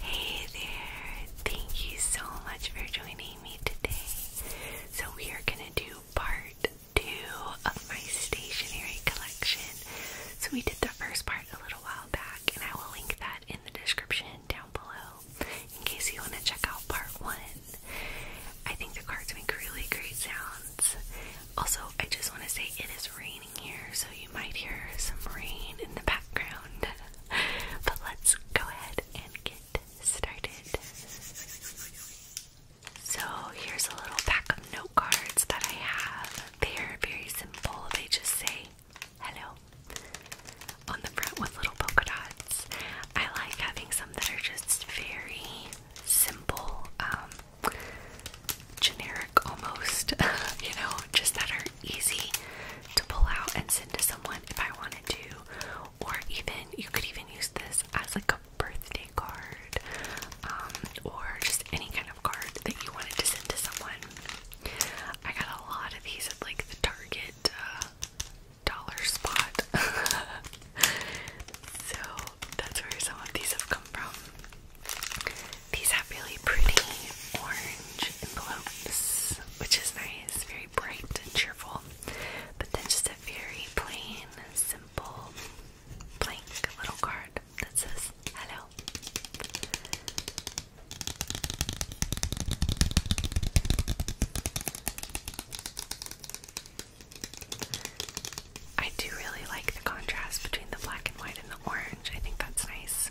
Hey there, thank you so much for joining me today. So, we are gonna do part two of my stationery collection. So, we did the first part a little while back, and I will link that in the description down below in case you want to check out part one. I think the cards make really great sounds. Also, I just want to say it is raining here, so you might hear some rain in the background. but let's go ahead and get started. So, here's a little pack of note cards that I have. They are very simple, they just say hello on the front with little polka dots. I like having some that are just very simple, um, generic almost, you know, just that are easy to pull out and send to someone if I wanted to. Or even, you could even use this as like a birthday card um, or just any kind of card that you wanted to send to someone. I got a lot of these at like the Target uh, dollar spot. so that's where some of these have come from. These have really pretty orange envelopes, which is nice, very bright and cheerful. But then just a very plain, simple, blank little card that says hello. I do really like the contrast between the black and white and the orange. I think that's nice.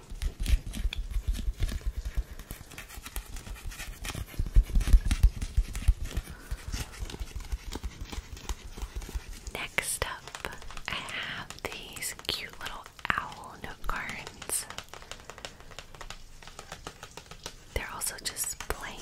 Next up, I have these cute little owl note They're also just blank.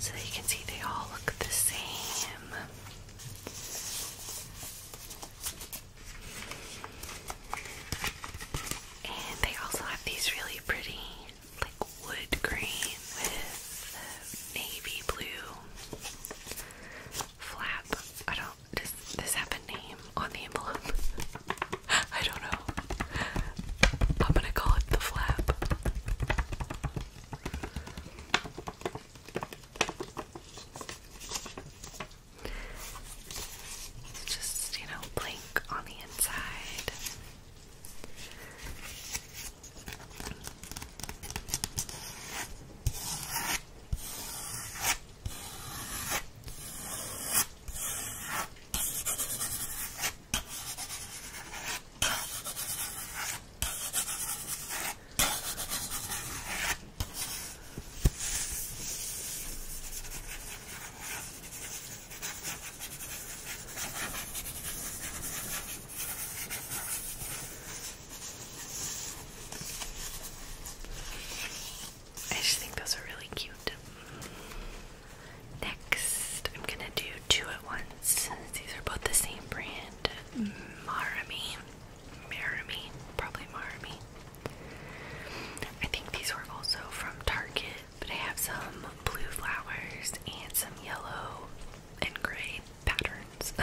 So you can see they all look the same. And they also have these really pretty, like wood grain with navy blue flap. I don't. Does this have a name on the envelope? I don't know. I'm gonna call it the flap. Just, you know, blink on the inside. I just think those are really cute. Next, I'm gonna do two at once. These are both the same brand, Marami. Marami, probably Marami. I think these were also from Target, but I have some blue flowers and some yellow and gray patterns.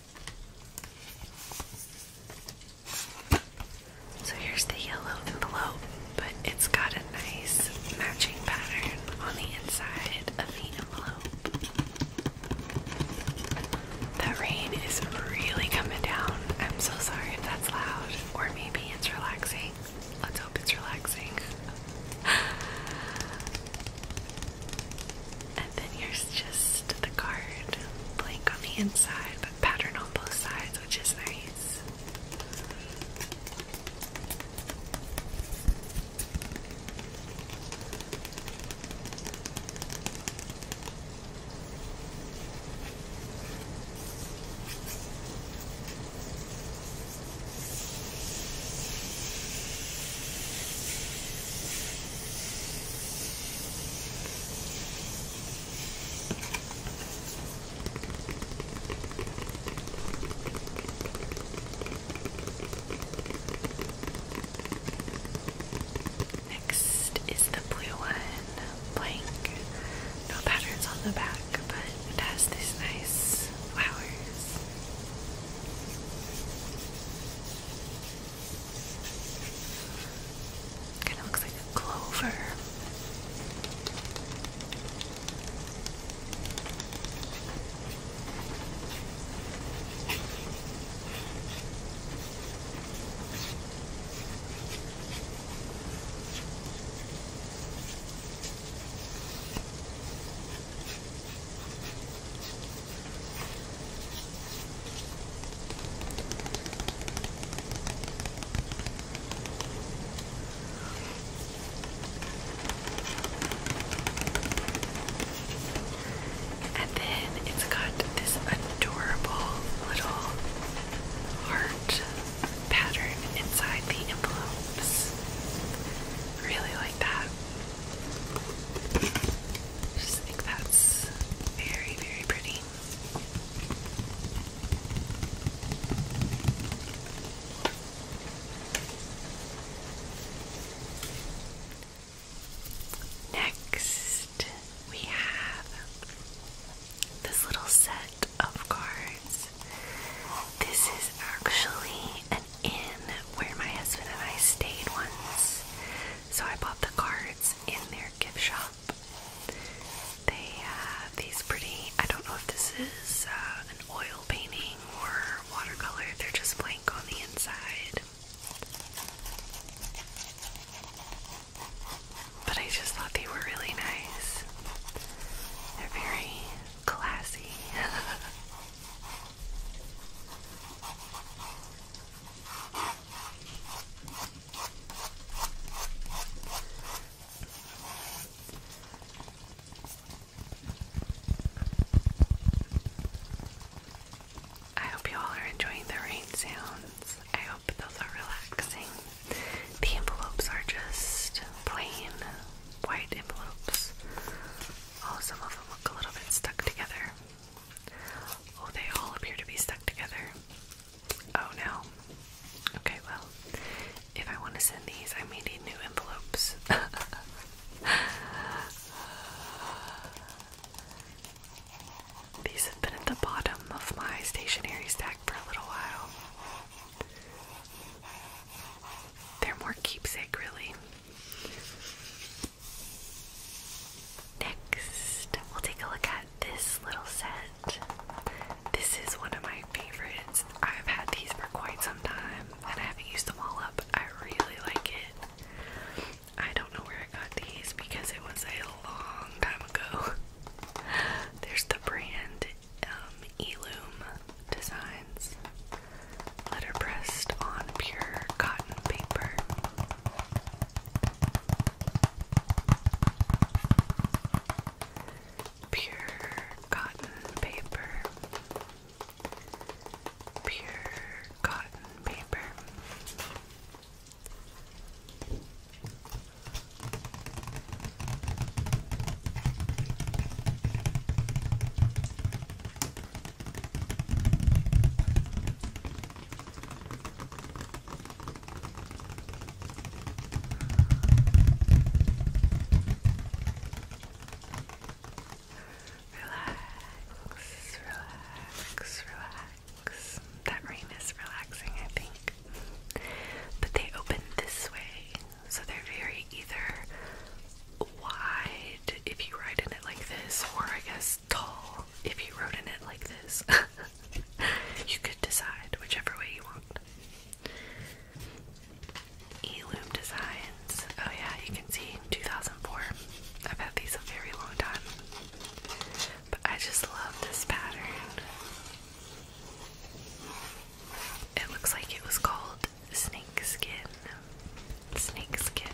So here's the yellow envelope, but it's got a nice matching pattern on the inside of the envelope. That rain is really coming down. I'm so sorry if that's loud, or maybe it's relaxing. Let's hope it's relaxing. And then here's just the card, blank on the inside, but pattern on both sides, which is nice. Next is the blue one, blank. No patterns on the back, but it has these nice flowers. Kind of looks like a clover. And then it's got this adorable little heart pattern inside the envelopes. Really like that. I just think that's very, very pretty. Next, we have this little set of cards. This is actually an in where my husband and I stayed once. So I bought the cards in their gift shop. They have these pretty, I don't know if this is uh, an oil painting or watercolor, they're just blank on the inside. But I just thought they were really nice. They're very classy. I hope you all are enjoying the rain sounds. I hope those are relaxing. The envelopes are just plain white envelopes Oh, some of them look a little bit stuck together. Oh, they all appear to be stuck together. Oh no. Okay, well, if I want to send these, I may need new envelopes. These have been at the bottom of my stationery stack for a little while. They're more keepsake, really. Next, we'll take a look at this little set. This is one of my favorites. I've had these for quite some time and I haven't used them all up. I really like it. I don't know where I got these because it was a long time ago. There's the brand um, Eloom Designs letterpressed on pure cotton paper. Pure cotton paper. Pure cotton paper. Relax, relax, relax. That rain is relaxing, I think. But they open this way, so they're very either wide if you write in it like this, or I guess tall if you wrote in it like this. you could decide whichever way you want. Eloom Designs. Oh yeah, you can see 2004. I've had these a very long time. But I just love this pattern it looks like it was called snake skin. Snake skin.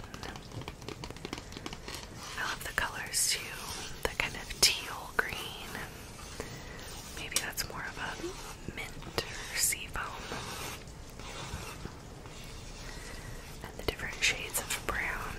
I love the colors too. The kind of teal green. Maybe that's more of a mint or seafoam. And the different shades of brown.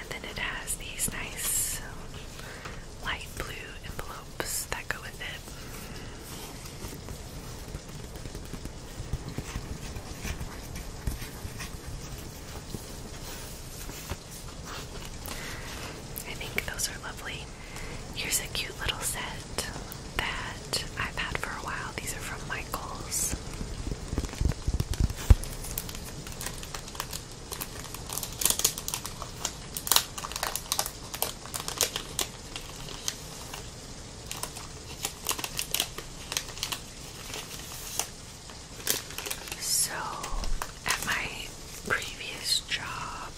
And then it has these nice light blue envelopes that go with it. I think those are lovely. Here's a cute little set that I've had for a while. These are from Michaels. So, at my previous job,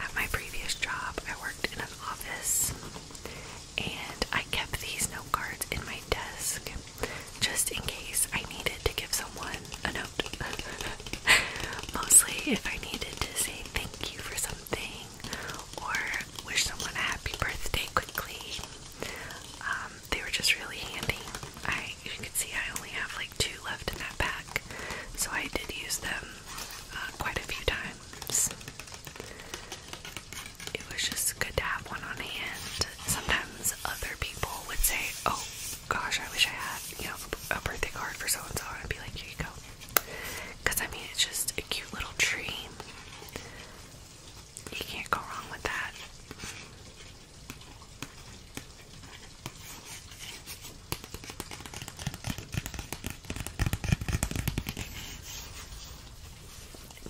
at my previous job, I worked in an office and I kept these note cards in my desk just in case I needed to give someone a note. Mostly if I needed to say thank you for something something or wish someone a happy birthday quickly. Um, they were just really handy. I you can see I only have like two left in that pack, so I did use them uh, quite a few times. It was just good to have one on hand. Sometimes other people would say, "Oh gosh, I wish I had you know a birthday card for so and so," and I'd be like, "Here you go." Because, I mean, it's just a cute little tree. You can't go wrong with that.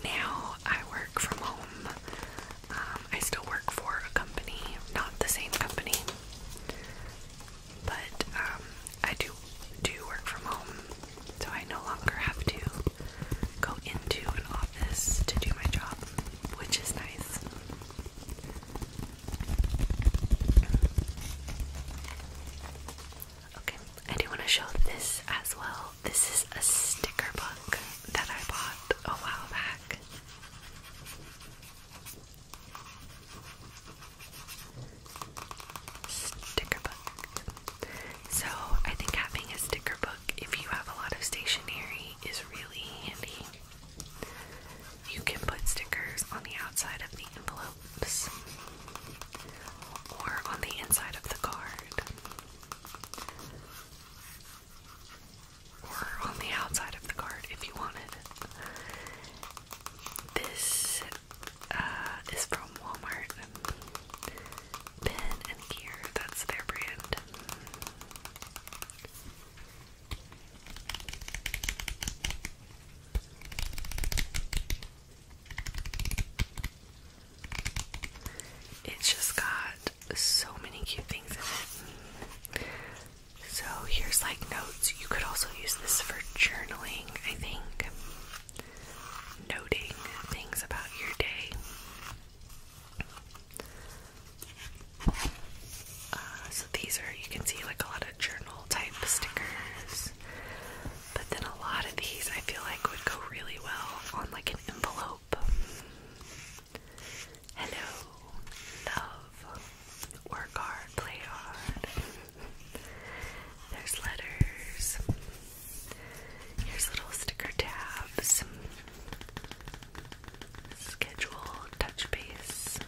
Now I work from home. Um, I still work for a company, not the same company, but um, I do do work from home, so I no longer have to go into an office to do my job, which is nice. Okay, I do want to show this as well. This is a sticker book that I bought a while back sticker book. So I think having a sticker book, if you have a lot of stationery, is really handy. You can put stickers on the outside of the envelopes or on the inside of the card. Or on the outside of the card if you wanted. This uh, is from Walmart. Pen and Gear, that's their brand. It's just got so many cute things in it. So here's like notes. You could also use this for journaling, I think noting things about your day. Uh, so these are, you can see like a lot of journal type stickers, but then a lot of these I feel like would go really well on like an envelope. Hello, love, work hard, play hard. There's letters. Here's little sticker tabs. Schedule, touch base.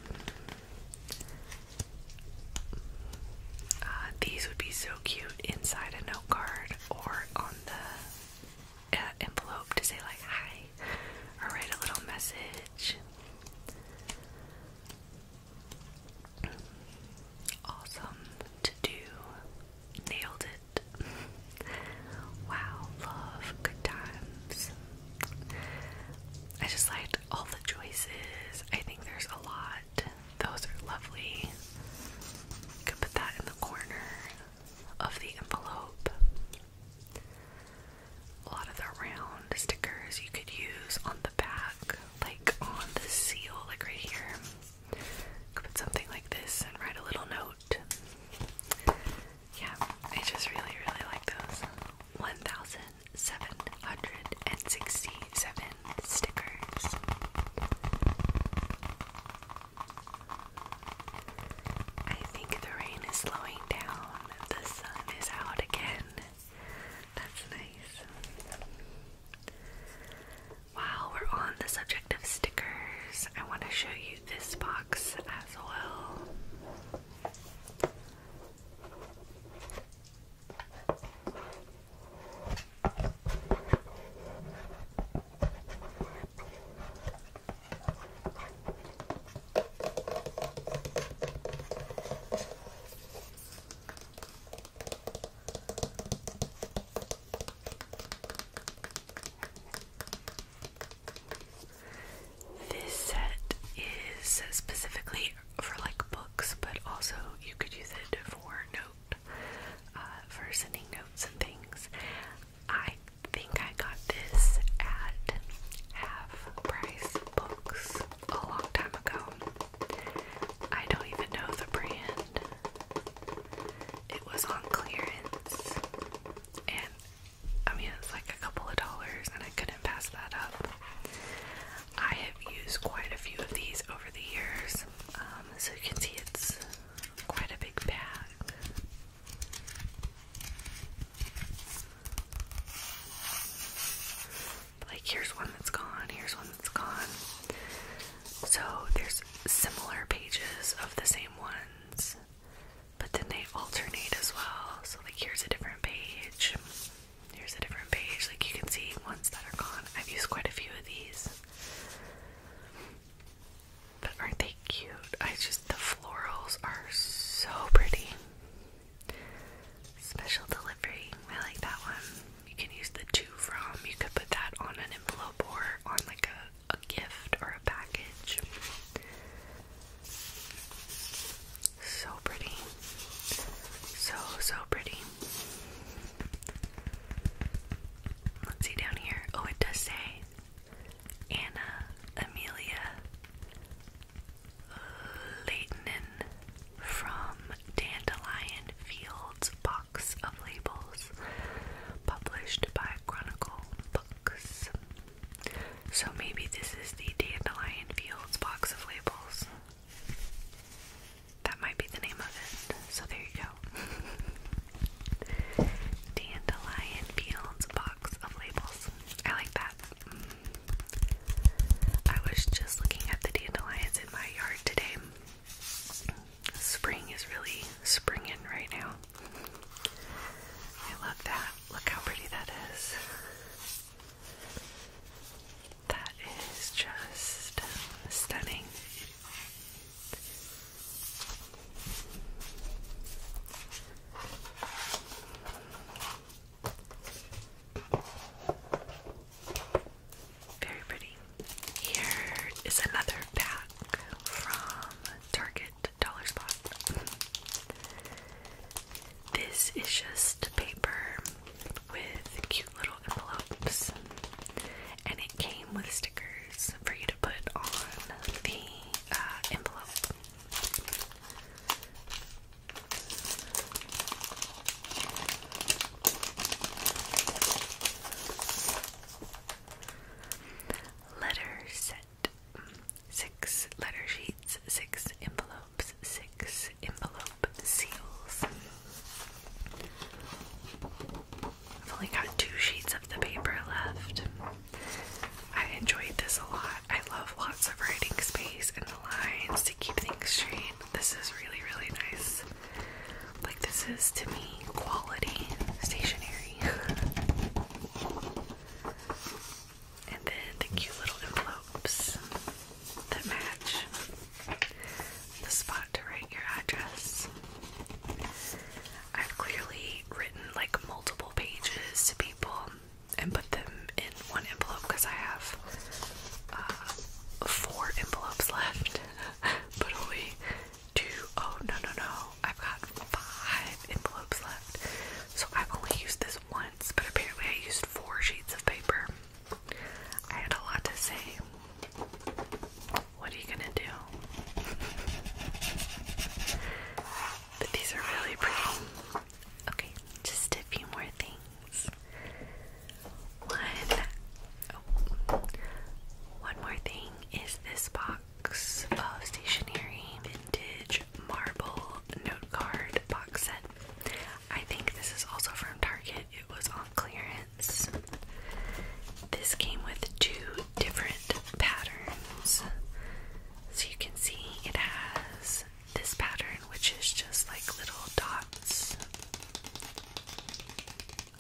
Uh, these would be so cute inside a note card or on the uh, envelope to say like hi or write a little message. Awesome to do. Nailed it. wow, love, good times. I just liked all the choices. I think there's a lot. Those are lovely. You could put that in the corner of the envelope. A lot of the round stickers you could use on the back like on the seal, like right here. Put something like this and write a little note. Yeah, I just really, really like those. 1,767 stickers. I think the rain is slowing down. The sun is out again. That's we're on the subject of stickers, I want to show you this box as well. This set is specifically for like books, but also you could use it for note, uh, for sending notes and things. I think I got this at half price books a long time ago. I don't even know the brand. It was on clearance, and I mean, it's like a couple of dollars, and I couldn't pass that up. I have used quite a few of these over the years, um, so you can see it's quite a big bag. Like, here's one that's gone, here's one that's gone. So, there's similar pages of the same ones, but then they alternate as well. So, like, here's a different page, here's a different page. Like, you can see ones that are gone. I've used quite a few of these. But aren't they cute? I just, the florals are so pretty. Special delivery. I like that one. You can use the two from. You could put that on an envelope or on like a, gift or a package. So pretty. So, so pretty. Let's see down here. Oh, it does say Anna Amelia Leighton from Dandelion Fields Box of Labels, published by Chronicle Books. So maybe this is the Dandelion Fields Box of Labels. That might be the name of it. So there you go. Dandelion Fields Box of Labels. I like that. I was just looking at the dandelions in my yard today. Spring is really springing right now. I love that. Look how pretty that is. That is just stunning. Very pretty. Here is another pack from Target Dollar Spot. This is just paper with cute little envelopes, and it came with stickers for you to put on the uh, envelope. Letter set. Six letter sheets, six envelopes, six envelope seals. I've only got two sheets of the paper left. I enjoyed this a lot. I love lots of writing space and the lines to keep things straight. This is really, really nice. Like, this is to me quality stationery. and then the cute little envelopes that match the spot to write your address. I've clearly written like multiple pages to people and put them in one envelope because I have uh, four envelopes left. but only two. Oh, no, no, no. I've got five envelopes left. So I've only used this once, but apparently I used four sheets of paper. I had a lot to say. What are you gonna do? But these are really pretty. Okay, just a few more things. One, oh, one more thing is this box of stationery vintage marble note card box set. I think this is also from Target. It was on clearance. This came with two different patterns. So you can see it has this pattern, which is just like little dots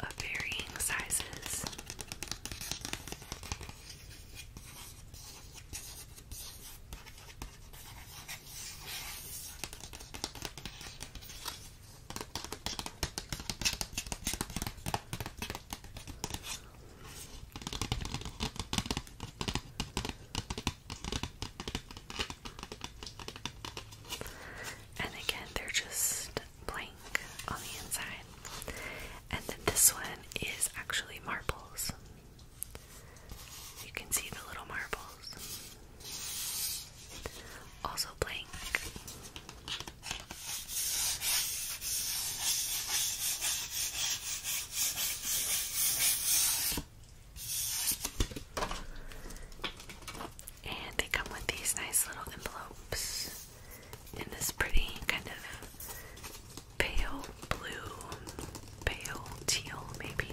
of varying sizes. And again, they're just blank on the inside. And then this one is actually marbles. You can see the little marbles. Also blank. And they come with these nice little envelopes in this pretty kind of pale blue, pale teal, maybe.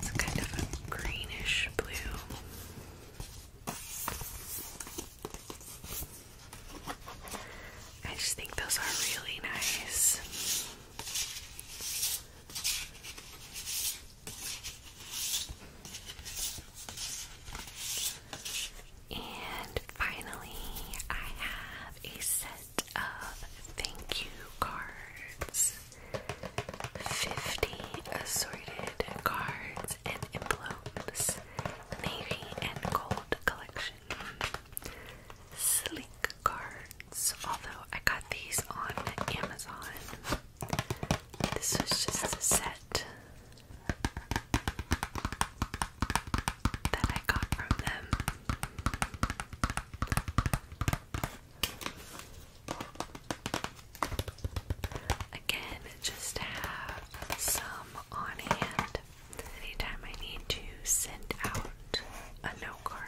It's kind of a greenish blue. I just think those are really nice. And finally, I have a set of thank you cards 50 assorted cards and envelopes, navy and gold collection. Slink cards. Although I got these on Amazon. This was just a set that I got from them. Again, just have some on hand anytime I need to send out a note card.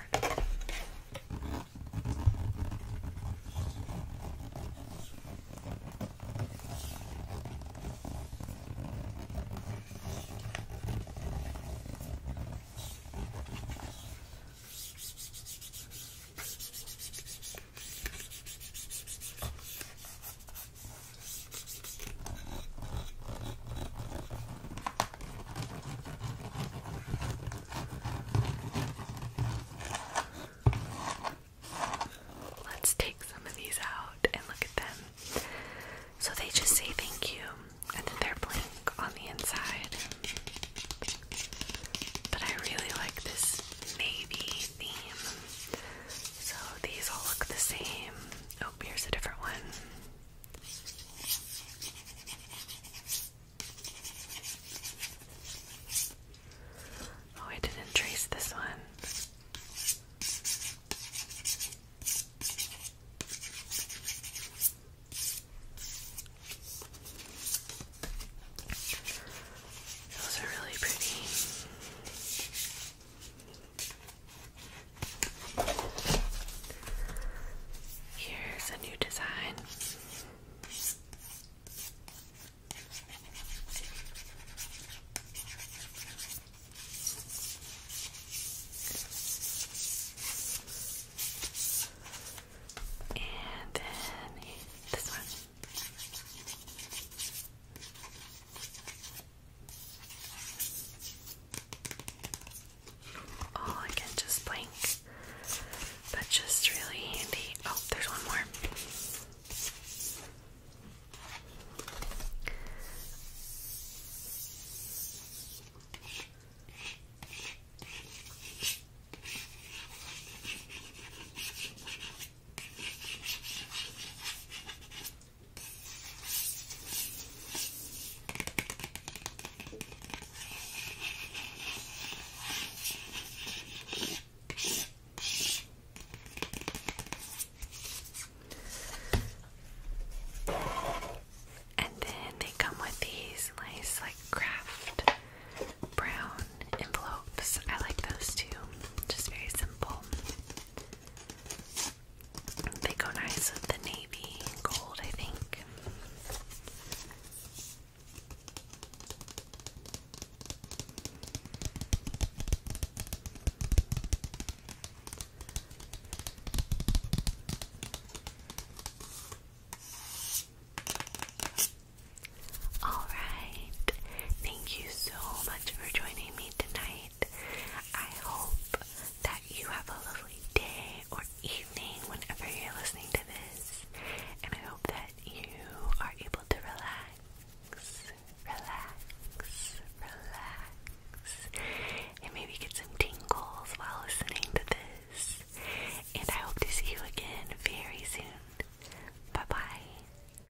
Let's take some of these out and look at them. So they just say thank you, and then they're blank on the inside. But I really like this navy theme. So these all look the same. Oh, here's a different one. Oh, I didn't trace this one. Those are really pretty. Here's a new design. And then this one. Oh, I can just blink. That's just really handy. Oh, there's one more. And then they come with these nice, like, craft brown envelopes. I like those too, just very simple. They go nice with the navy gold, I think. All right. Thank you so much for joining me tonight. I hope that you have a lovely day or evening whenever you're listening to this, and I hope that you are able to relax, relax, relax, and maybe get some tingles while listening to this. And I hope to see you again very soon. Bye bye.